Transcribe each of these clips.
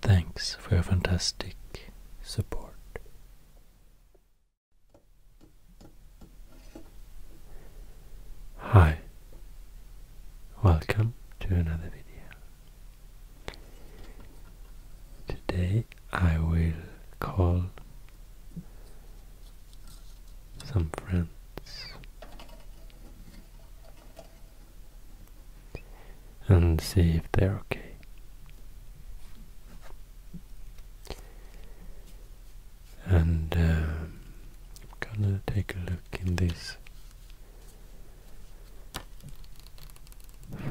Thanks for your fantastic support. Hi, welcome to another video. Today I will call some friends and see if they're okay. And I'm um, gonna take a look in this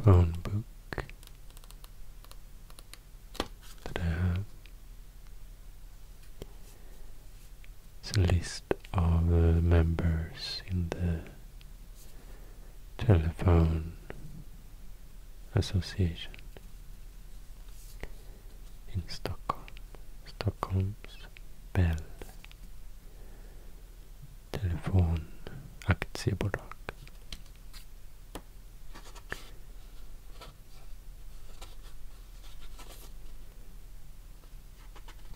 phone book that I have. It's a list of the members in the telephone association in Stockholm, Stockholm's Bell Telephone Aktiebolag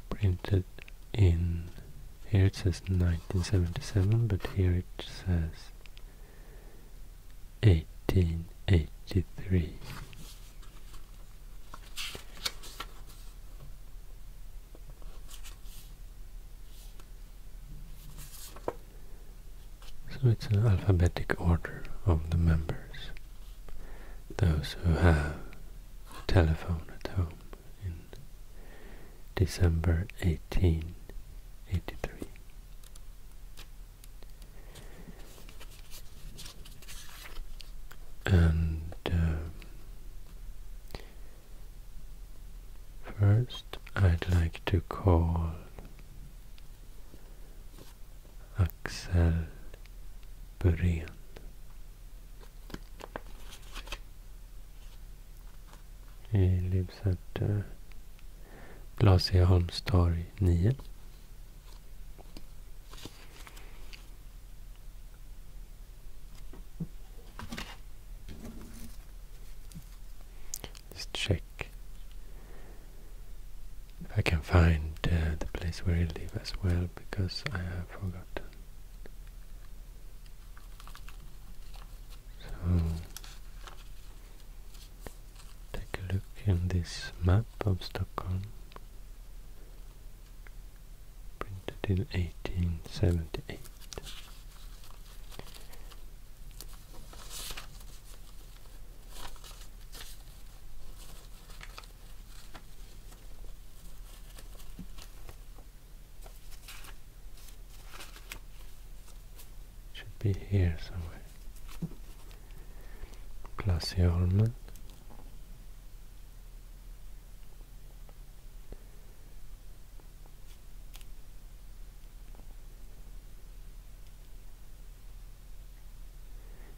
printed in here it says 1977 but here it says 1883 so it's an alphabetic order of the members those who have telephone at home in December 1883. And um, first I'd like to call Axel Burén. He lives at uh, Blasieholmstorg let Let's check if I can find uh, the place where he lives as well because I have forgotten. So take a look in this map of Stockholm printed in 1878. Should be here somewhere. Glacialmen.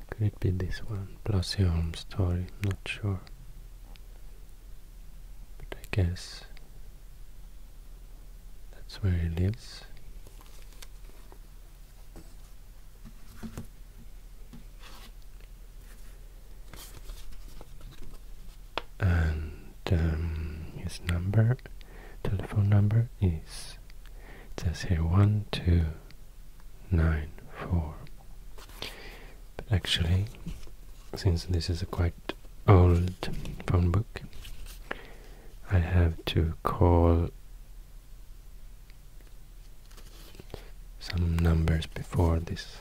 Could it be this one, plus your home story, not sure. But I guess that's where he lives. And um, his number, telephone number is, it says here one two nine four. But actually, since this is a quite old phone book, I have to call some numbers before this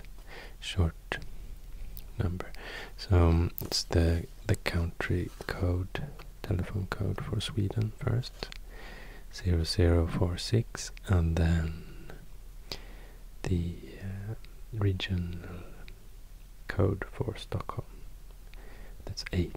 short number. So um, it's the the country code, telephone code for Sweden first zero zero four six, and then the uh, regional code for Stockholm. That's eight.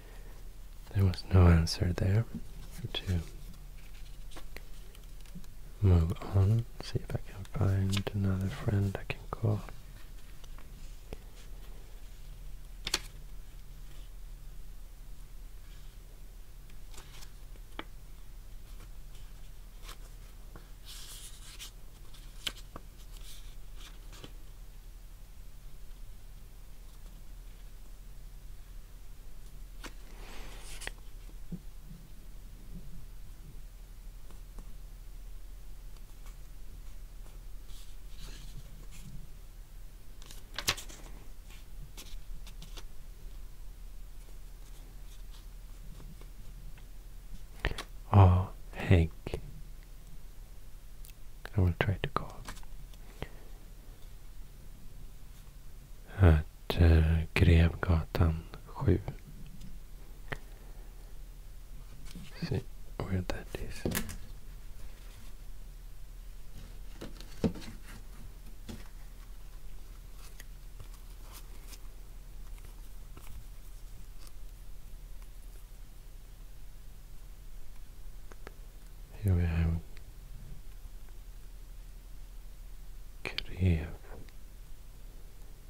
there was no answer there to move on. See if I can find another friend I can call. Oh, Hank I will try to call. At uh, Grevgatan 7. See where that is who have Krev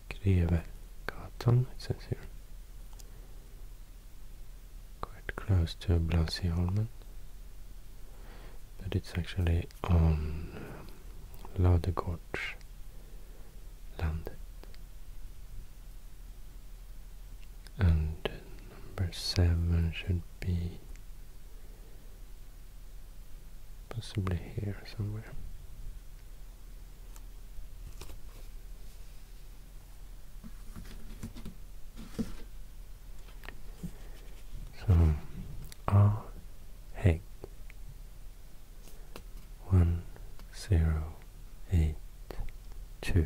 Grevegatan, it says here. Quite close to Blasieholmen. But it's actually on um, Ladegårdslandet. And number seven should be possibly here somewhere. So, ah, one, zero eight, two.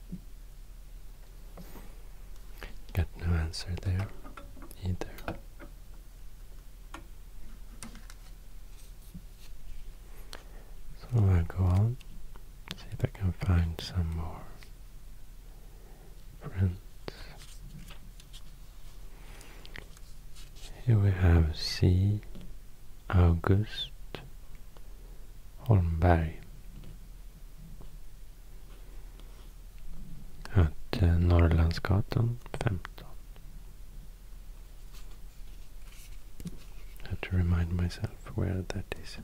Got no answer there either. So I'll go on, see if I can find some more friends. Here we have C. August Holmberg. Att Norrlandsgatan 15. I have to remind myself where that is.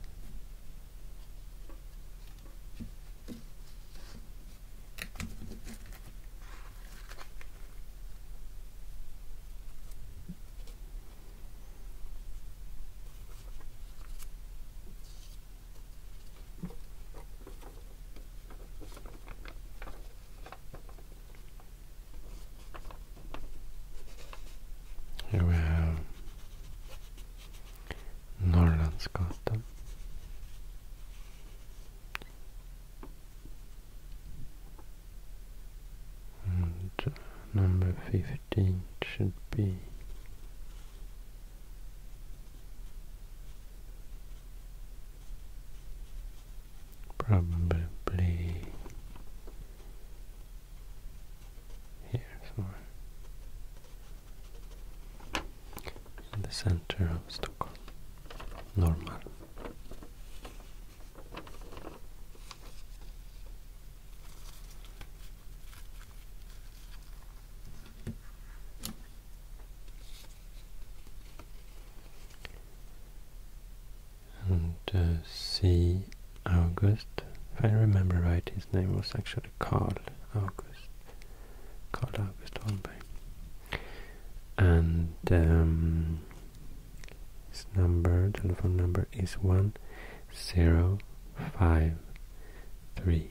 Here we have Norrlandsgatan. And number 15 should be Probably here somewhere in the center of Stockholm. Normal. And uh, C. August, if I remember right, his name was actually Carl August. Carl August Holberg. And um, his number, telephone number is one zero five three.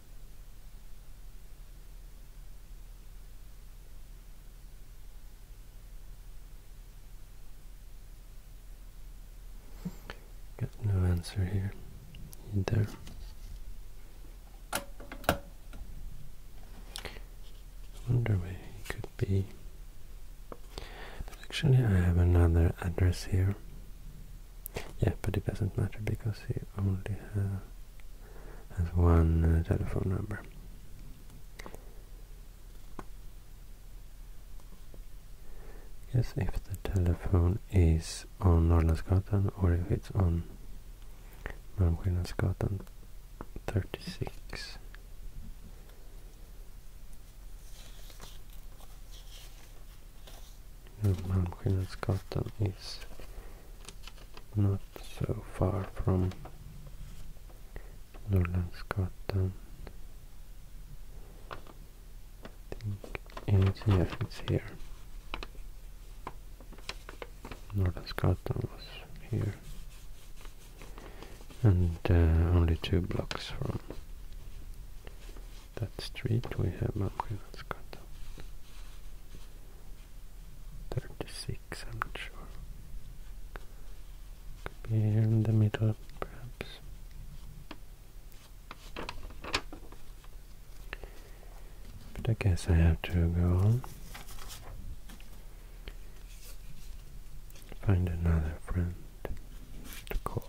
Got no answer here There. I wonder where it could be. actually I have another address here. Yeah, but it doesn't matter because he only has one uh, telephone number. Yes, if the telephone is on Norrlandsgatan or if it's on Malmskillnadsgatan 36. Malmskillnadsgatan is not so far from Northern Scotland. I it's, yes, it's here. Northern Scotland was here. And uh, only two blocks from that street we have Northern Scotland. 36, I'm not sure. Could be in the middle, perhaps. But I guess I have to go on. Find another friend to call.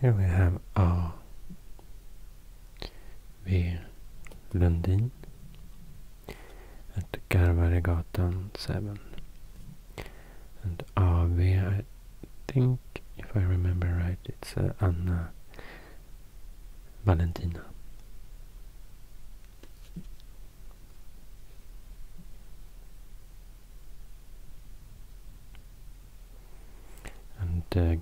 Here we have A.V. Lundin at Garvaregatan 7 and Ave, I think, if I remember right, it's uh, Anna Valentina. And uh,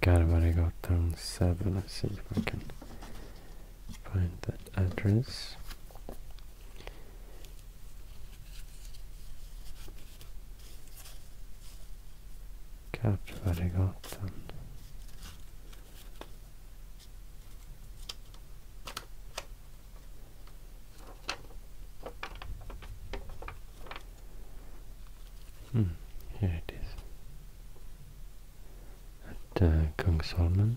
got down 7, let's see if I can find that address got Hmm, here it is. At uh, Kungsholmen.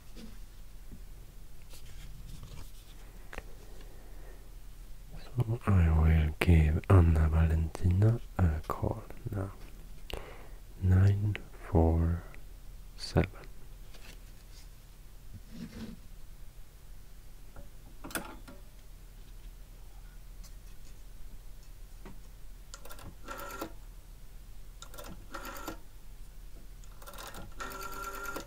So I will give Anna Valentina a call now. Nine four seven.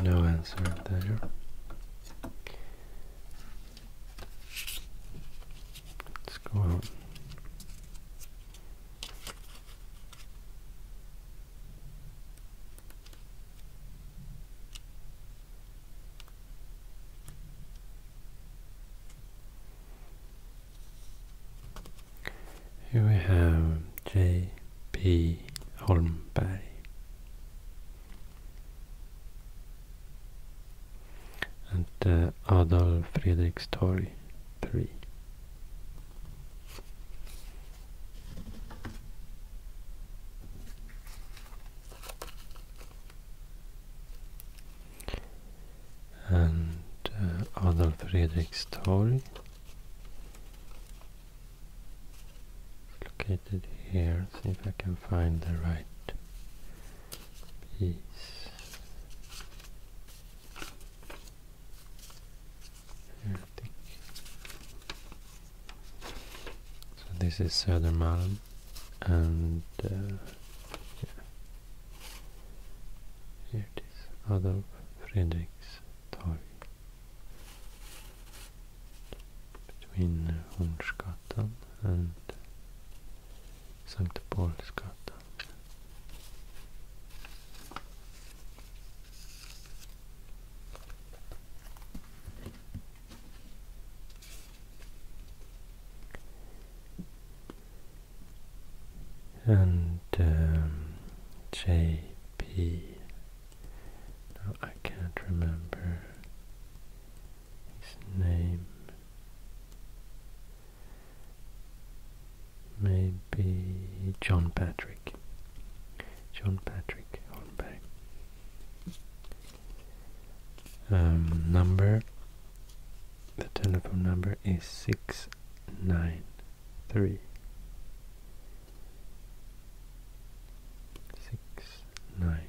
No answer, there. Let's go out. Here we have J.P. Holmberg at uh, Adolf Fredrikstorg 3. And uh, Adolf Fredrikstorg located here, see if I can find the right peace. So this is Södermalm and uh, yeah. here it is, Adolf Fredriks between Hornsgatan and Sankt Paulsgatan. And um, JP, no, I can't remember his name may be John Patrick. John Patrick Holmberg. Um, number, the telephone number is 693. 693.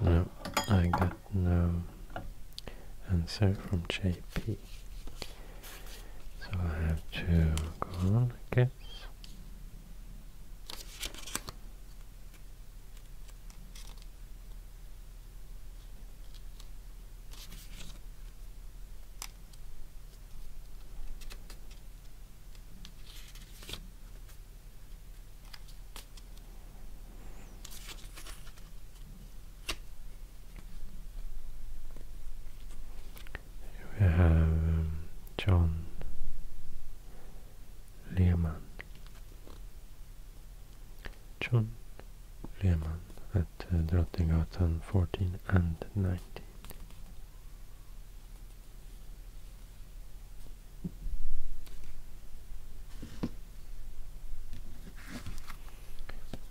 No, I got no answer from JP. So I have to go on, I guess. We have um, John Lehman. John Lehman at uh, Drottninggatan 14 and 19.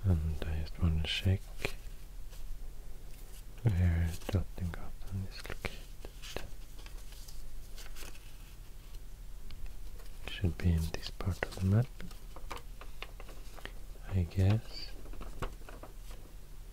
And I just want to check where Drottning is located. should be in this part of the map, I guess.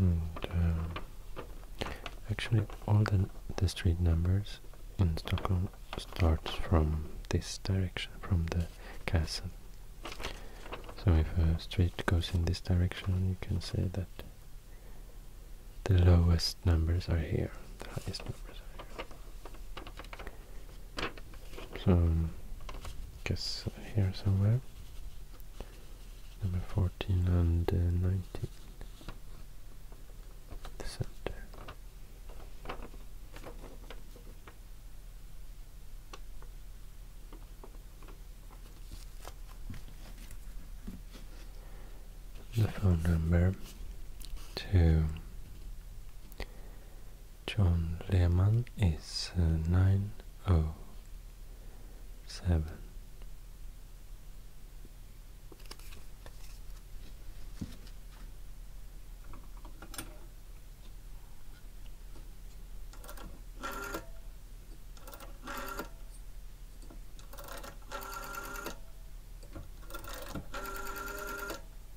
Um, actually, all the, the street numbers in Stockholm starts from this direction, from the castle. So if a street goes in this direction, you can say that the lowest numbers are here, the highest numbers are here. So, um, guess here somewhere. Number 14 and uh, 19. The center. The phone number Two. John Lehman is uh, 907.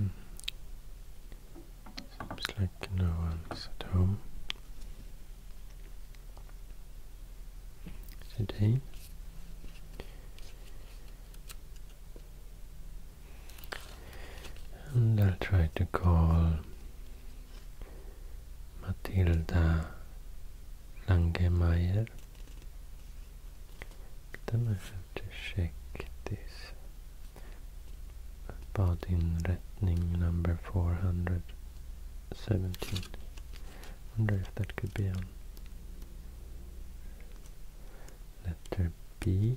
Mm. Seems like no one's at home today and I'll try to call Matilda Langemeyer. Then I have to check this body in inretning number 417. wonder if that could be on letter B.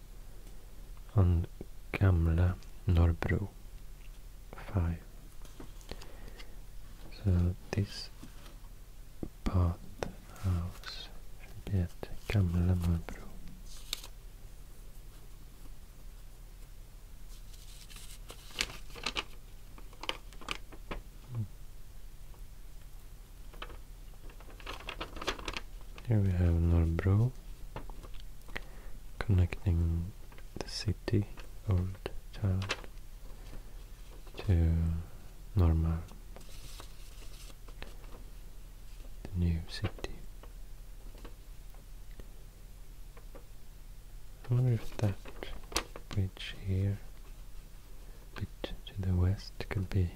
on Gamla Norbro. 5. So this bathhouse should be at Gamla Norrbro. Hmm. Here we have Norbro connecting the city, old town, to normal, the new city. I wonder if that bridge here, a bit to the west, could be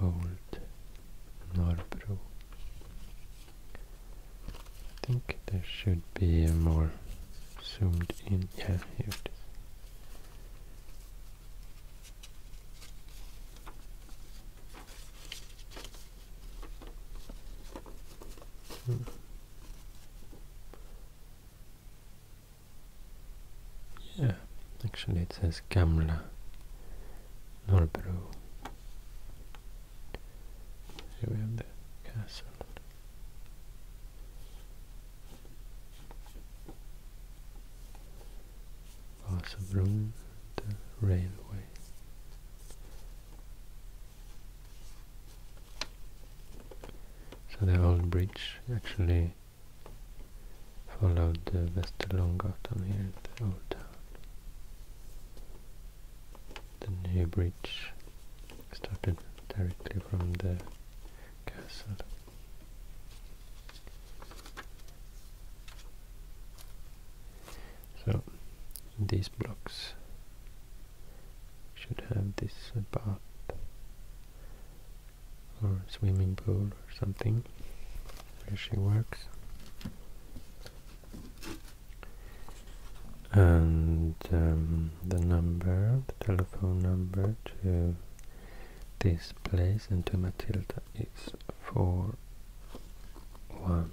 Old Norbro. I think there should be a more zoomed in. Yeah, hmm. Yeah, actually it says Gamla Norrbro. Here we have the castle. Vasabron, the railway. So the old bridge actually followed the Västerlånggatan here the old town. The new bridge started directly from the castle. So these blocks should have this bath or swimming pool or something where she works and um, the number, the telephone number to this place and to Matilda is 417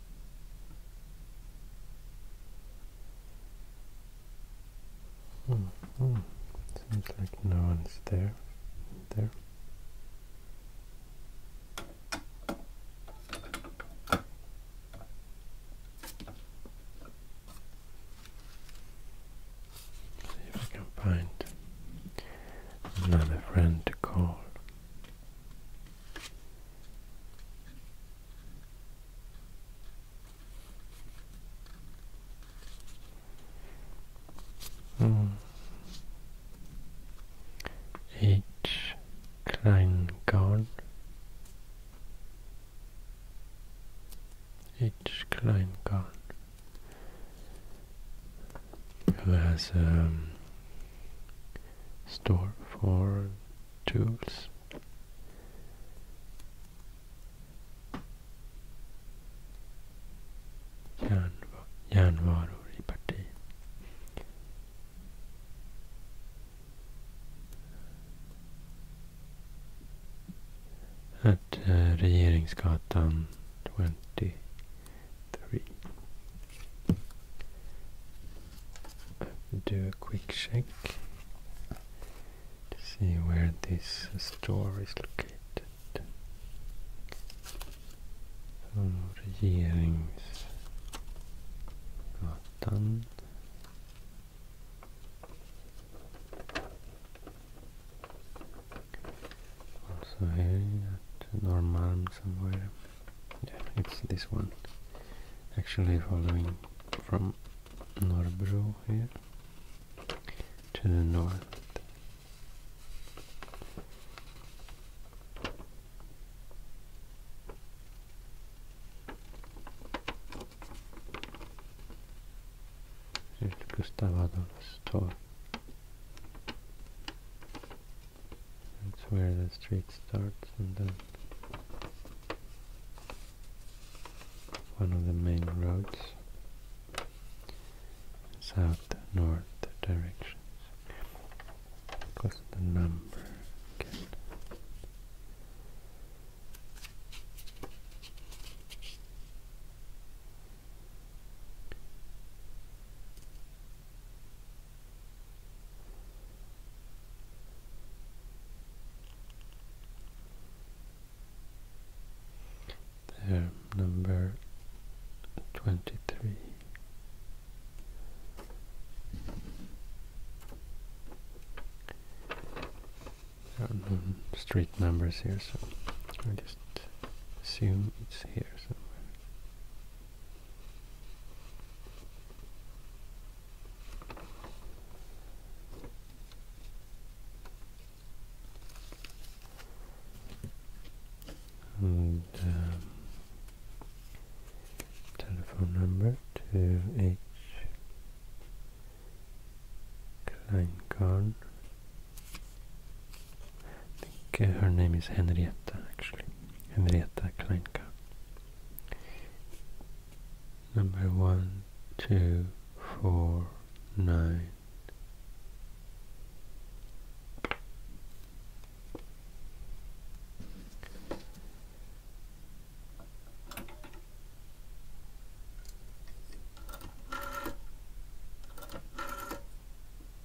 Hmm, -hmm. Seems like no one's there. There. See if I can find another friend to call. Hmm. H. Kleingard. H. Kleingard. Who has um, store for tools järnva järnvaror i parti at uh, 23 do a quick check to see where this store is located. So, Regeringsgatan. Also here at somewhere yeah, it's this one actually following from Norbro here to the north Gustav Adolf's Tor that's where the street starts and then one of the main roads south-north directions. What's the number there, number twenty three. no street numbers here, so I just assume it's here somewhere. Um, telephone number to H. Kleinkarn. I think her name is Henrietta actually. Henrietta Kleinkarn number one, two, four, nine.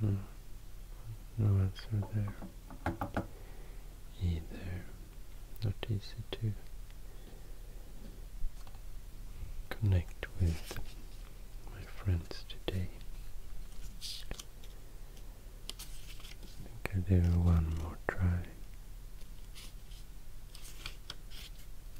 Hmm. No, answer there either. Not easy to connect with my friends today. I think I'll do one more try.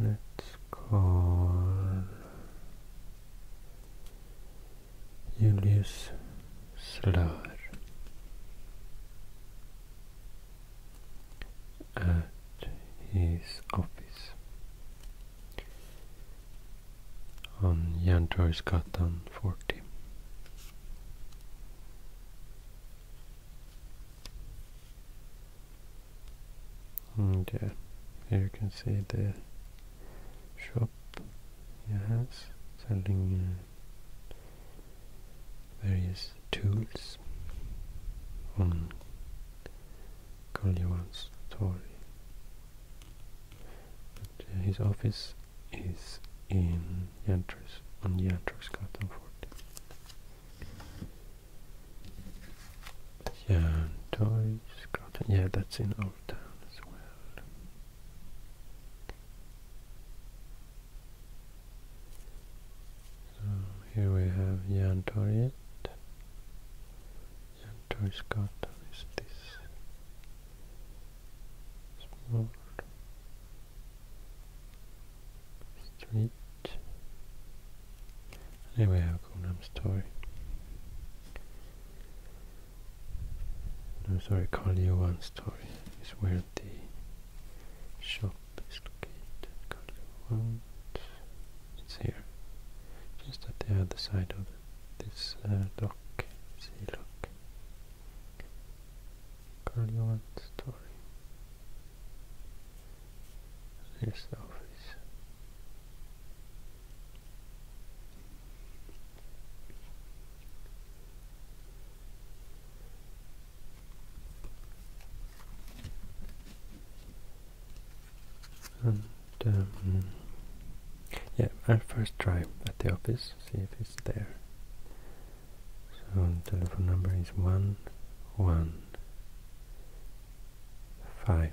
Recall let's call Julius Slör at his office on Järntorgsgatan 40. Mm, and here you can see the shop yes, selling various tools on Karl Johan's Torg. But uh, his office is in Jantrus, on Jantrusgatan 40. Jantrusgatan, yeah that's in old town as well. So here we have Yantoriet. Yantorskatan is this small street. And here we have Gangnam Story. No, sorry, Carl One story is where the shop is located. Carl Johan, it's here, just at the other side of this uh, dock, sea lock. Carl Johan's story. Here's the office. And um, yeah, I'll first try at the office, see if it's there. So the telephone number is one one five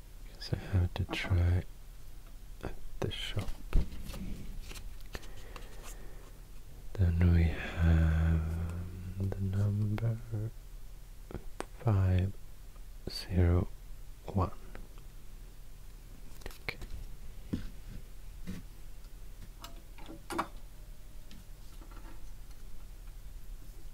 because I have to try at the shop. Then we have the number five zero one.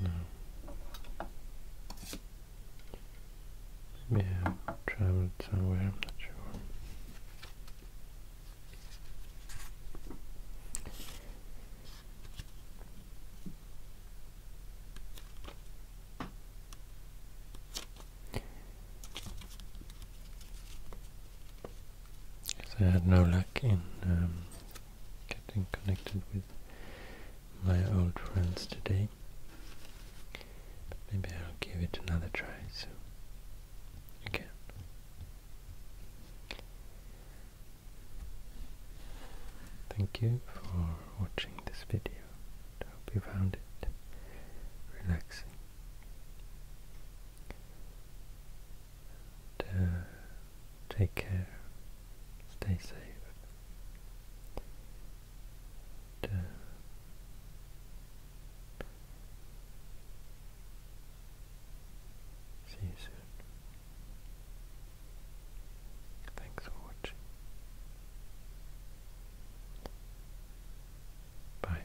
No. Hmm may have traveled somewhere, I'm not sure. I had no luck in um, getting connected with my old friends today. But maybe I'll give it another try soon again. Thank you for watching this video. I hope you found it relaxing. Uh, take care, stay safe, Duh. See you soon. Thanks for watching. Bye.